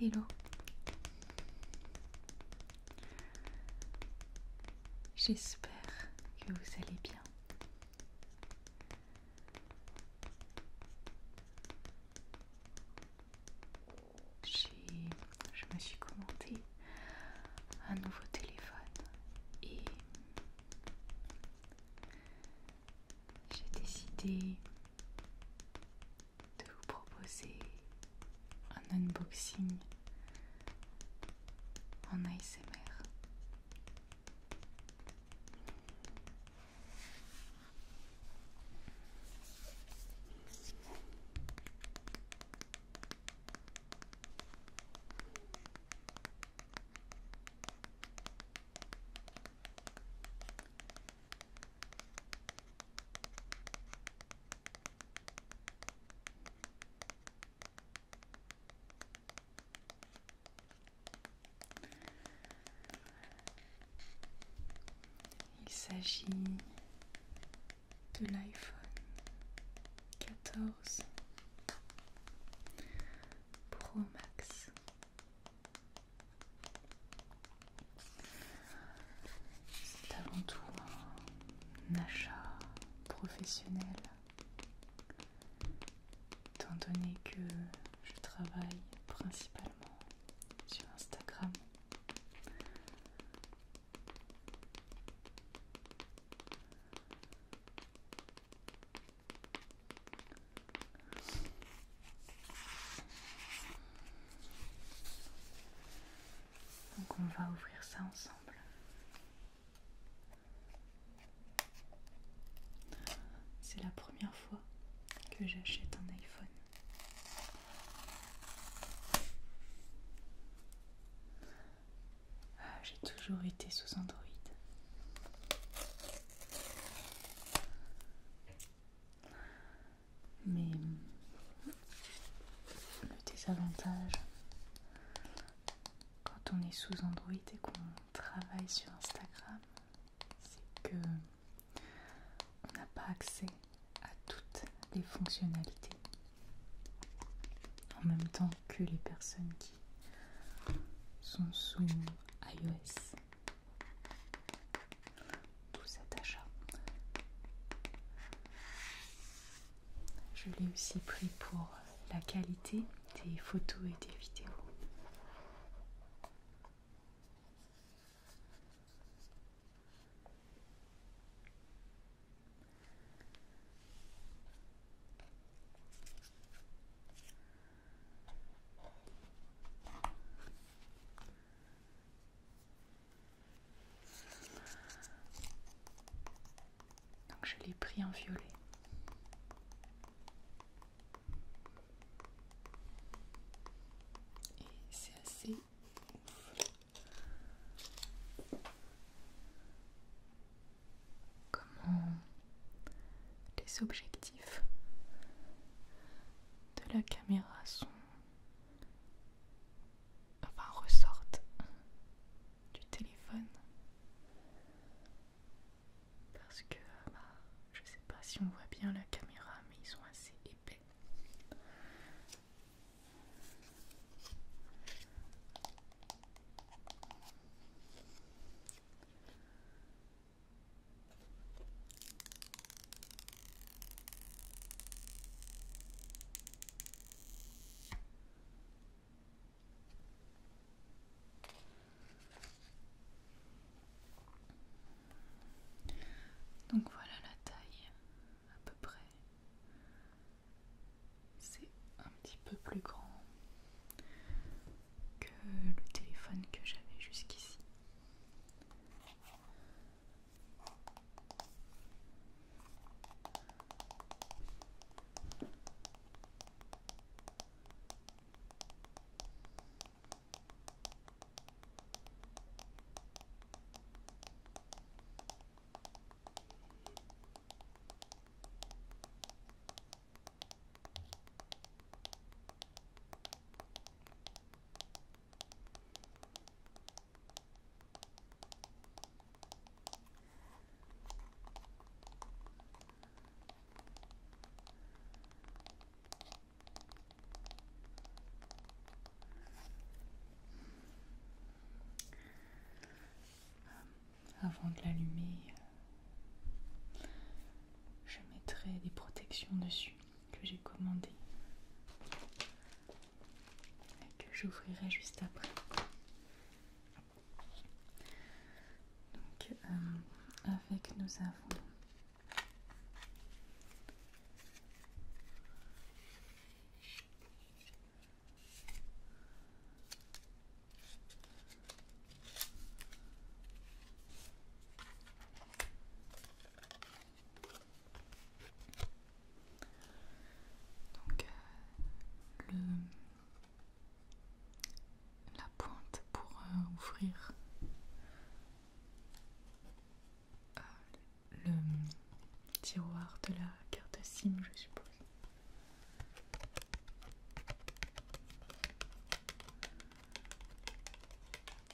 Hello. J'espère que vous allez bien. Je me suis commandé un nouveau téléphone et j'ai décidé de vous proposer un unboxing en ASMR. Il s'agit de l'iPhone 14 Pro Max. C'est avant tout un achat professionnel, étant donné que je travaille principalement sur Instagram. Donc on va ouvrir ça ensemble. C'est la première fois que j'achète un iPhone. Ah, j'ai toujours été sous Android. Mais le désavantage, quand on est sous Android et qu'on travaille sur Instagram, c'est que on n'a pas accès à toutes les fonctionnalités en même temps que les personnes qui sont sous iOS tout cet Je l'ai aussi pris pour la qualité des photos et des vidéos. Donc je l'ai pris en violet. Et c'est assez Comment les objectifs de la caméra sont enfin ressortent du téléphone parce que bah, je sais pas si on voit bien la caméra mais ils sont assez épais donc voilà la taille à peu près. C'est un petit peu plus grand que le téléphone que j'avais jusqu'ici. Avant de l'allumer, je mettrai des protections dessus que j'ai commandé et que j'ouvrirai juste après. Donc, euh, avec nous avons donc euh, la pointe pour euh, ouvrir euh, le tiroir de la carte SIM, je suppose.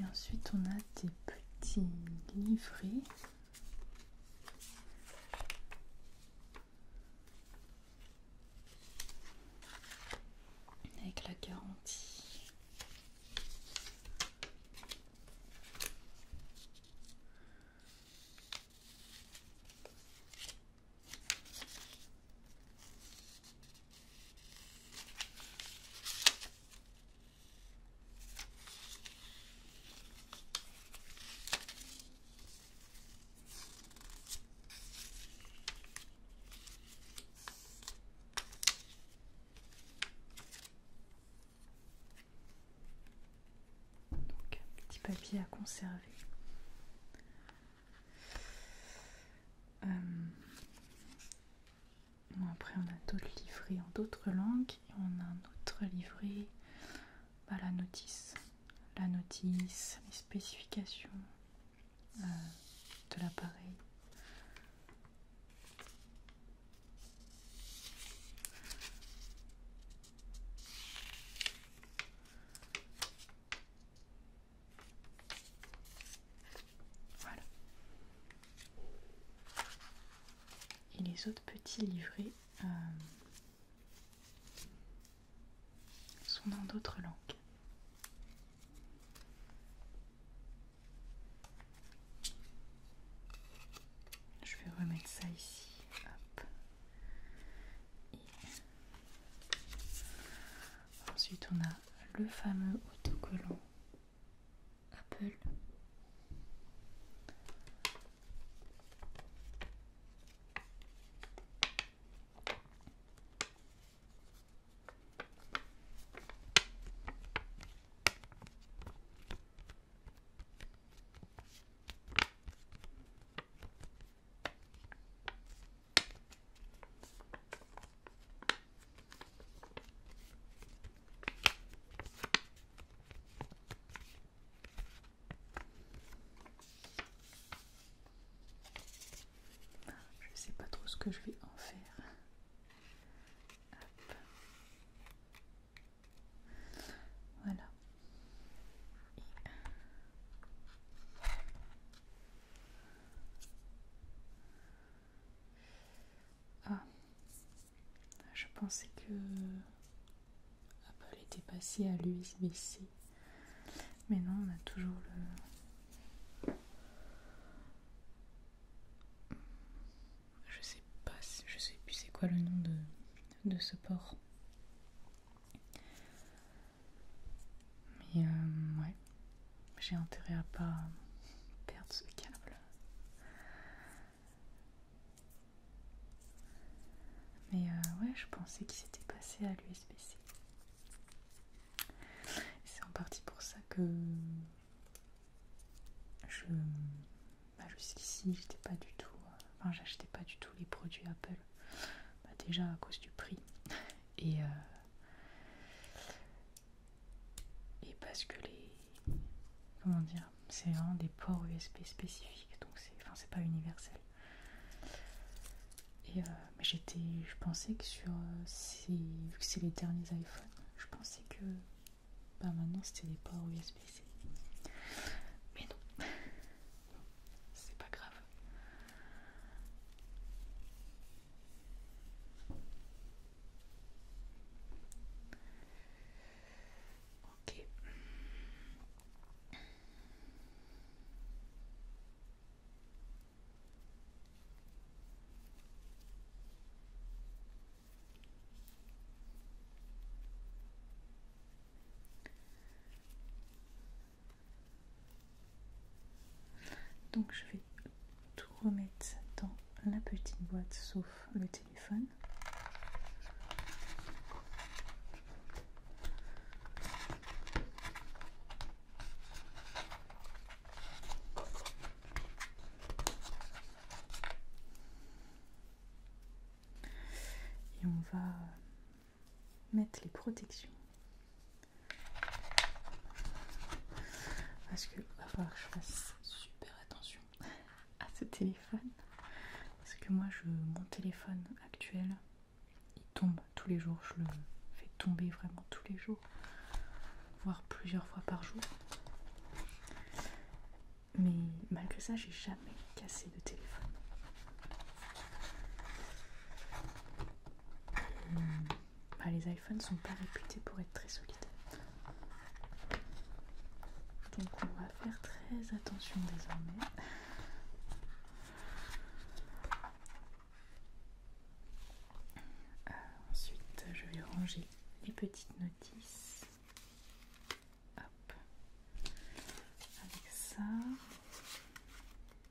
Et ensuite, on a des petits livrets. Avec la garantie. Donc, petit papier à conserver. Euh, après, on a d'autres livrets en d'autres langues. Et on a un autre livret, bah, la notice. La notice, les spécifications euh, de l'appareil. Voilà. Et les autres petits livrets euh, sont dans d'autres langues. Je vais remettre ça ici ensuite, on a le fameux autocollant Apple. Je ne sais pas trop ce que je vais en faire. Voilà. Ah, je pensais que Apple était passé à l'USB mais non, on a toujours le. Je sais pas, je sais plus c'est quoi le nom de, de ce port. Mais euh, ouais, j'ai intérêt à pas perdre ce câble. Mais euh, ouais, je pensais qu'il s'était passé à l'USB-C. C'est en partie pour ça que je bah, jusqu'ici j'étais pas du tout enfin j'achetais pas du tout les produits Apple. Bah, déjà à cause du prix et, euh, et parce que les comment dire c'est vraiment des ports USB spécifiques donc c'est enfin c'est pas universel et euh, j'étais je pensais que sur euh, ces vu que c'est les derniers iPhones je pensais que bah, maintenant c'était des ports USB C mais non c'est pas grave. Ok. Donc je vais tout remettre dans la petite boîte sauf le téléphone. Et on va mettre les protections. Parce que va falloir que je fasse super attention à ce téléphone. Parce que moi, je, mon téléphone actuel, il tombe tous les jours. Je le fais tomber vraiment tous les jours, voire plusieurs fois par jour. Mais malgré ça, j'ai jamais cassé de téléphone. Bah, les iPhones sont pas réputés pour être très solides. Donc on va faire très attention désormais. Euh, ensuite, je vais ranger les petites notices. Avec ça.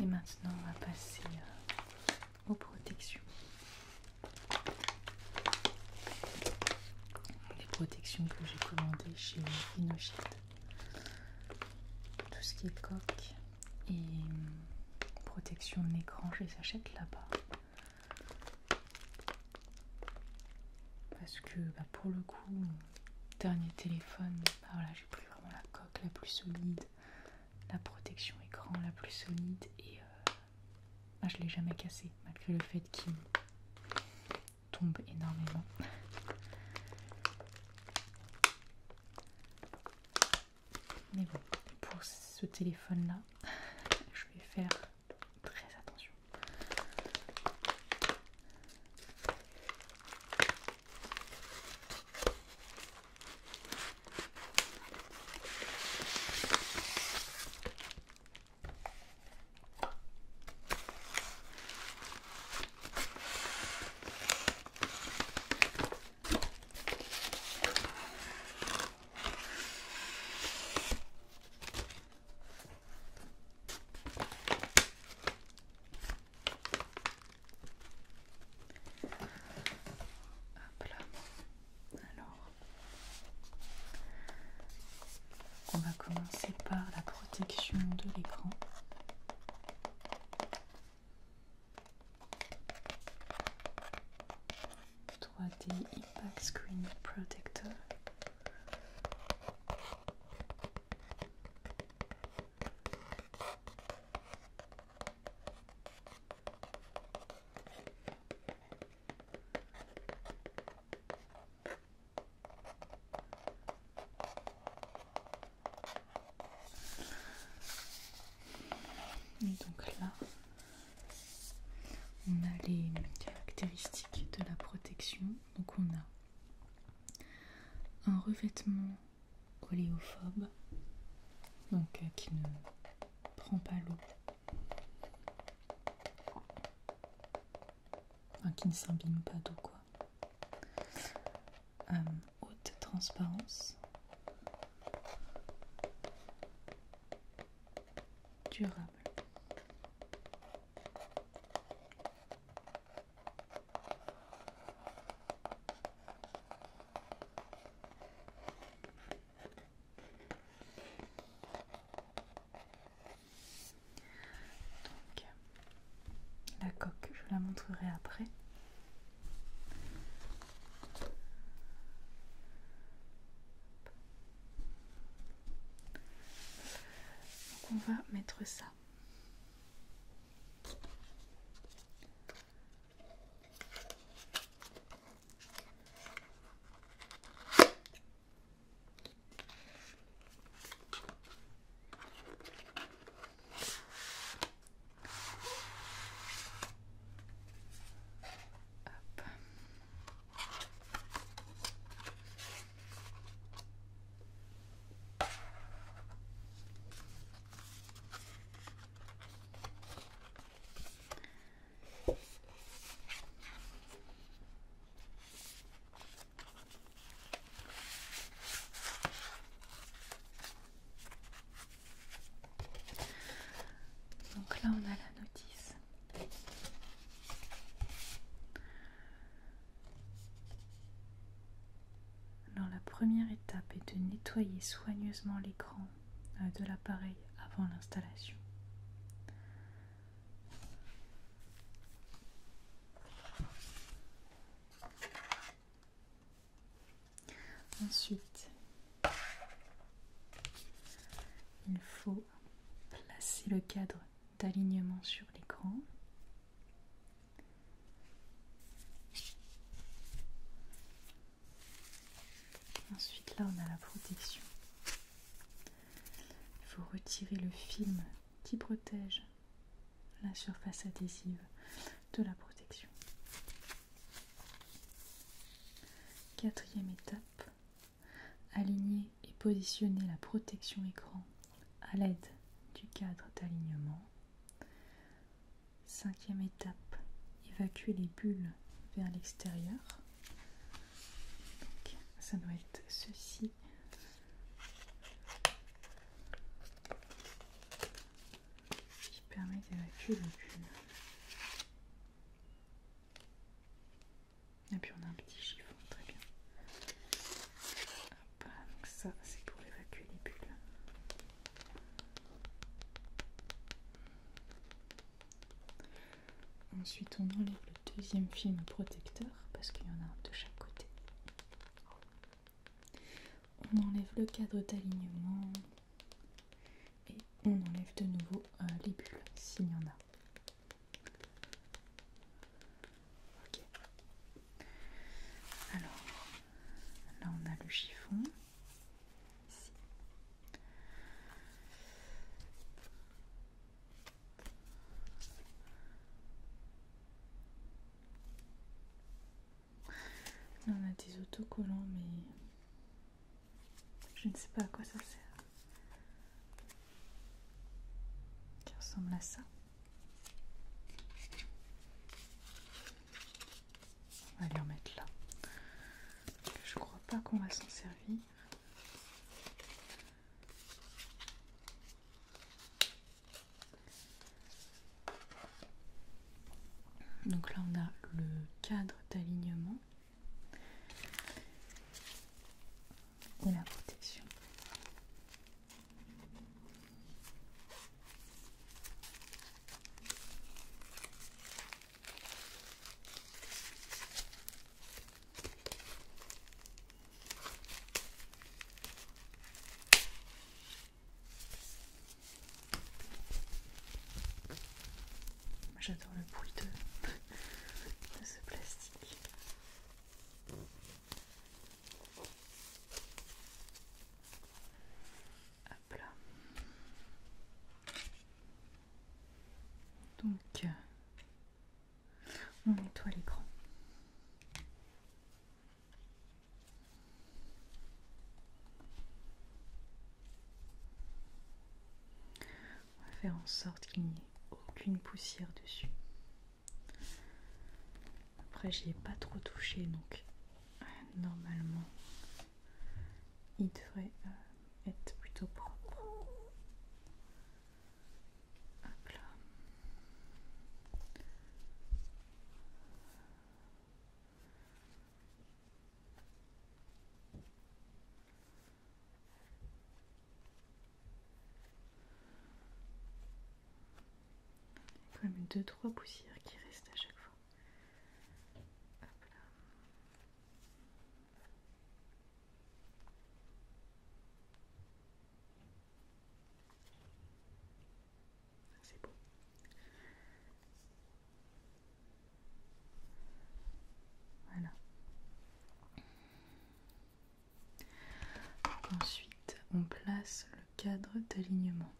Et maintenant, on va passer euh, aux protections. Les protections que j'ai commandées chez Rhinochet. Tout ce qui est coque et hum, protection de l'écran, je les achète là-bas. Parce que bah, pour le coup, dernier téléphone, bah, j'ai pris vraiment la coque la plus solide, la protection écran la plus solide et euh, bah, je l'ai jamais cassé malgré le fait qu'il tombe énormément. Mais bon, pour ce téléphone là, je vais faire très attention. Alors, on va commencer par la protection de l'écran. « 3D Impact Screen Protector » donc là, on a les caractéristiques de la protection. Donc on a un revêtement coléophobe, donc euh, qui ne prend pas l'eau, qui ne s'imbibe pas d'eau quoi. Euh, haute transparence, durable. Donc, la coque, je la montrerai après. Donc on va mettre ça. Donc là, on a la notice. Alors la première étape est de nettoyer soigneusement l'écran euh, de l'appareil avant l'installation. Ensuite, il faut placer le cadre d'alignement sur l'écran. Ensuite là on a la protection. Il faut retirer le film qui protège la surface adhésive de la protection. Quatrième étape, Aligner et positionner la protection écran à l'aide du cadre d'alignement. Cinquième étape, évacuer les bulles vers l'extérieur. ça doit être ceci. qui permet d'évacuer les bulles. Et puis on a un petit chiffon, très bien. donc ça c'est pour évacuer les bulles. Ensuite on enlève le deuxième film protecteur parce qu'il y en a un de chaque côté. On enlève le cadre d'alignement et on enlève de nouveau euh, les bulles s'il y en a. Alors, là on a le chiffon. Ici. on a des autocollants mais je ne sais pas à quoi ça sert qui ressemble à ça. On va les remettre là. Je crois pas qu'on va s'en servir. Donc là on a le cadre d'alignement et la protection. J'adore le bruit de, de ce plastique. Donc, euh, on nettoie l'écran. On va faire en sorte qu'il n'y ait aucune poussière dessus. Après, j'y ai pas trop touché donc normalement il devrait euh, être plutôt propre. Il y a quand même deux trois poussières qui restent à chaque fois. C'est beau. Voilà. Ensuite, on place le cadre d'alignement.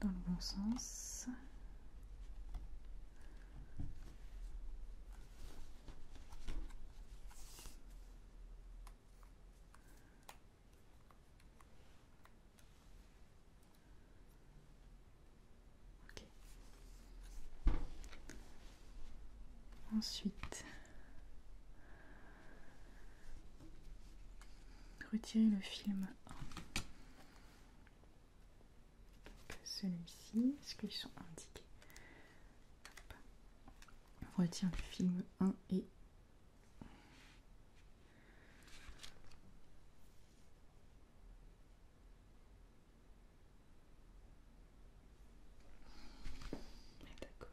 Dans le bon sens. Ensuite, Retirez le film Celui-ci, est-ce qu'ils sont indiqués on retire du film 1 et D'accord.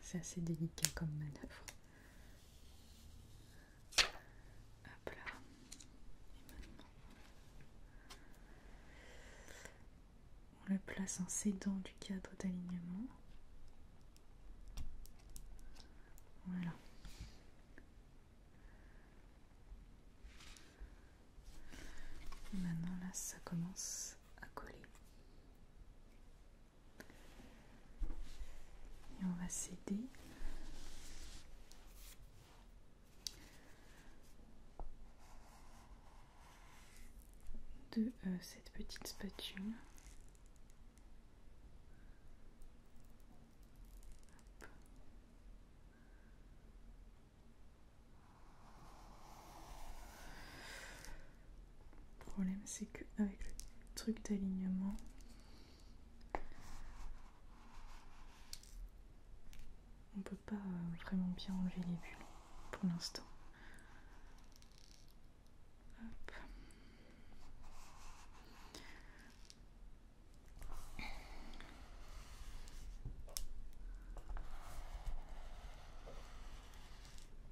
C'est assez délicat comme manœuvre. Hop là. Et maintenant, on le place en s'aidant du cadre d'alignement. Voilà. maintenant là, ça commence à coller. Et on va céder de euh, cette petite spatule. Le problème, c'est qu'avec le truc d'alignement, on peut pas euh, vraiment bien enlever les bulles pour l'instant.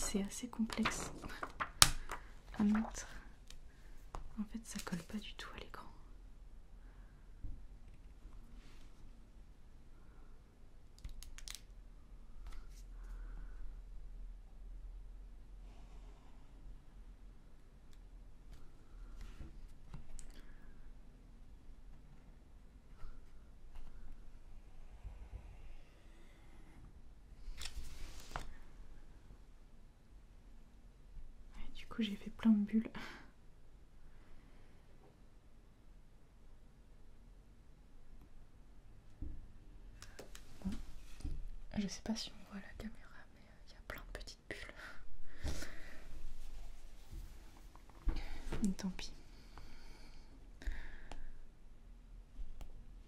C'est assez complexe à mettre. En fait, ça colle pas du tout à l'écran du coup, j'ai fait plein de bulles. Je sais pas si on voit la caméra, mais euh, il y a plein de petites bulles. Tant pis.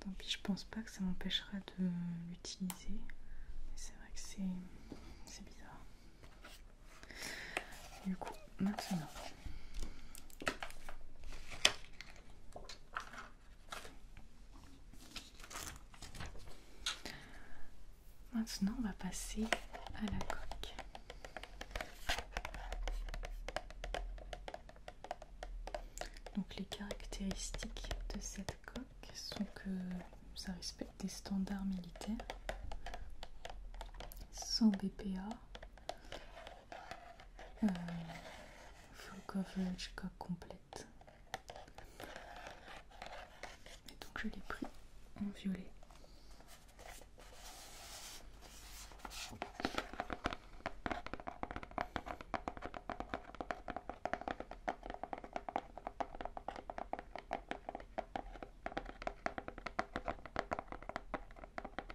Tant pis, je pense pas que ça m'empêchera de l'utiliser. C'est vrai que c'est bizarre. Du coup, maintenant, maintenant on va passer à la coque. Donc les caractéristiques de cette coque sont que ça respecte des standards militaires sans BPA euh, full coverage complète et donc je l'ai pris en violet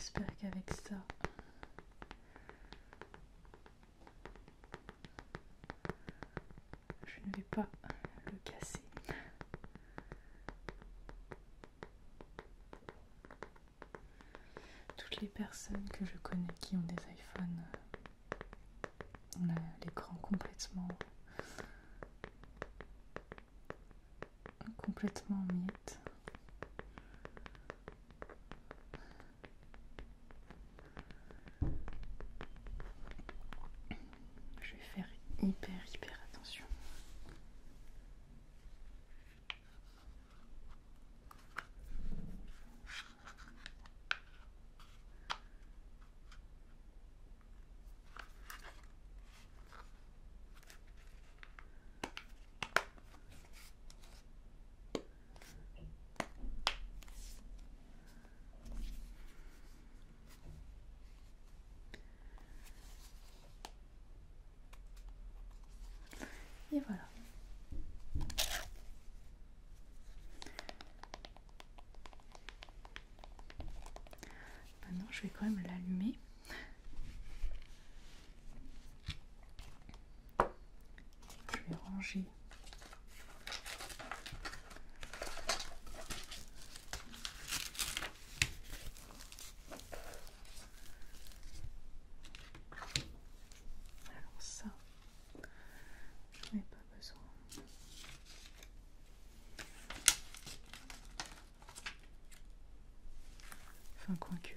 J'espère qu'avec ça, je ne vais pas le casser. Toutes les personnes que je connais qui ont des iPhones, on a l'écran complètement complètement en miettes. Je vais faire hyper hyper attention. Et voilà. Maintenant, je vais quand même l'allumer je vais ranger alors ça j'en ai pas besoin coin cul.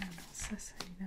Alors ça, ça il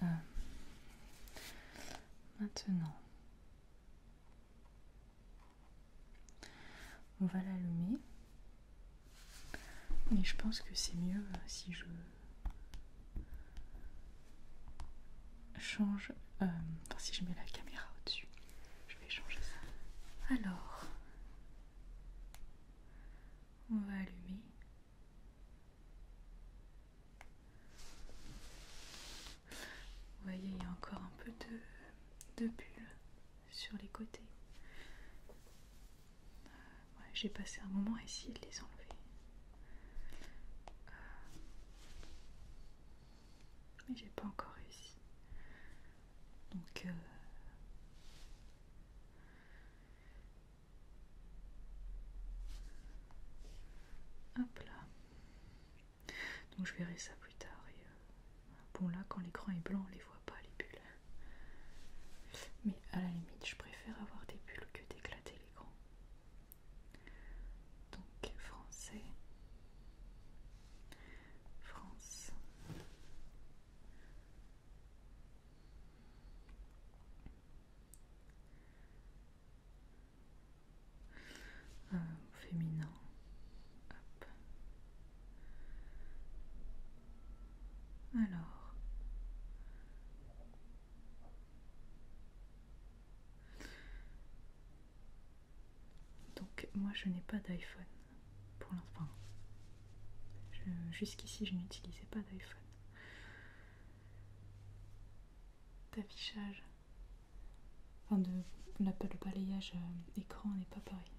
Euh, maintenant, on va l'allumer. Mais je pense que c'est mieux euh, si je change. Euh, si je mets la caméra au-dessus, je vais changer ça. Alors, on va allumer. Vous voyez, il y a encore un peu de, bulles sur les côtés. Euh, j'ai passé un moment à essayer de les enlever. Euh, mais j'ai pas encore réussi. Donc euh, Hop là. Donc je verrai ça plus tard. Euh, bon là quand l'écran est blanc on les voit pas les bulles. Mais à la limite je préfère avoir des bulles que d'éclater l'écran. Donc français, France. Euh, féminin. Alors. Donc moi je n'ai pas d'iPhone pour l'instant. Jusqu'ici je n'utilisais pas d'iPhone. D'affichage. Enfin de le balayage euh, écran n'est pas pareil.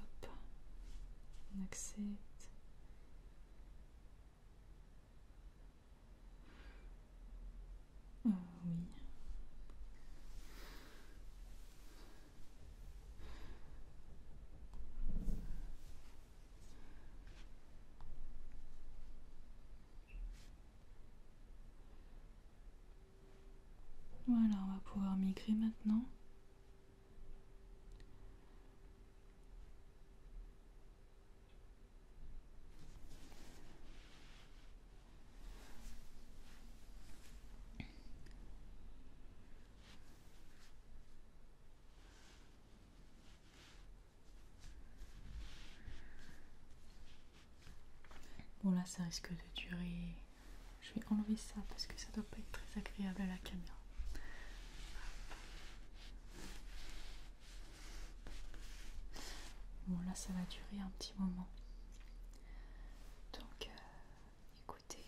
Hop. On accepte. Oh oui. Voilà, on va pouvoir migrer maintenant. Bon là ça risque de durer. Je vais enlever ça parce que ça doit pas être très agréable à la caméra. Bon là ça va durer un petit moment. Donc euh, écoutez.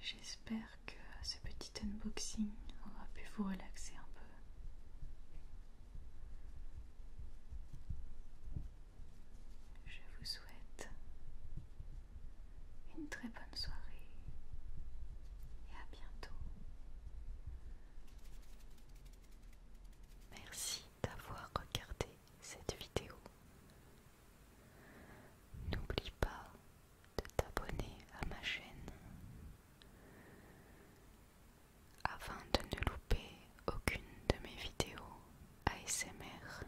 J'espère que ce petit unboxing aura pu vous relaxer un peu. Je vous souhaite une très bonne soirée et à bientôt. Merci d'avoir regardé cette vidéo. N'oublie pas de t'abonner à ma chaîne afin de ne louper aucune de mes vidéos ASMR.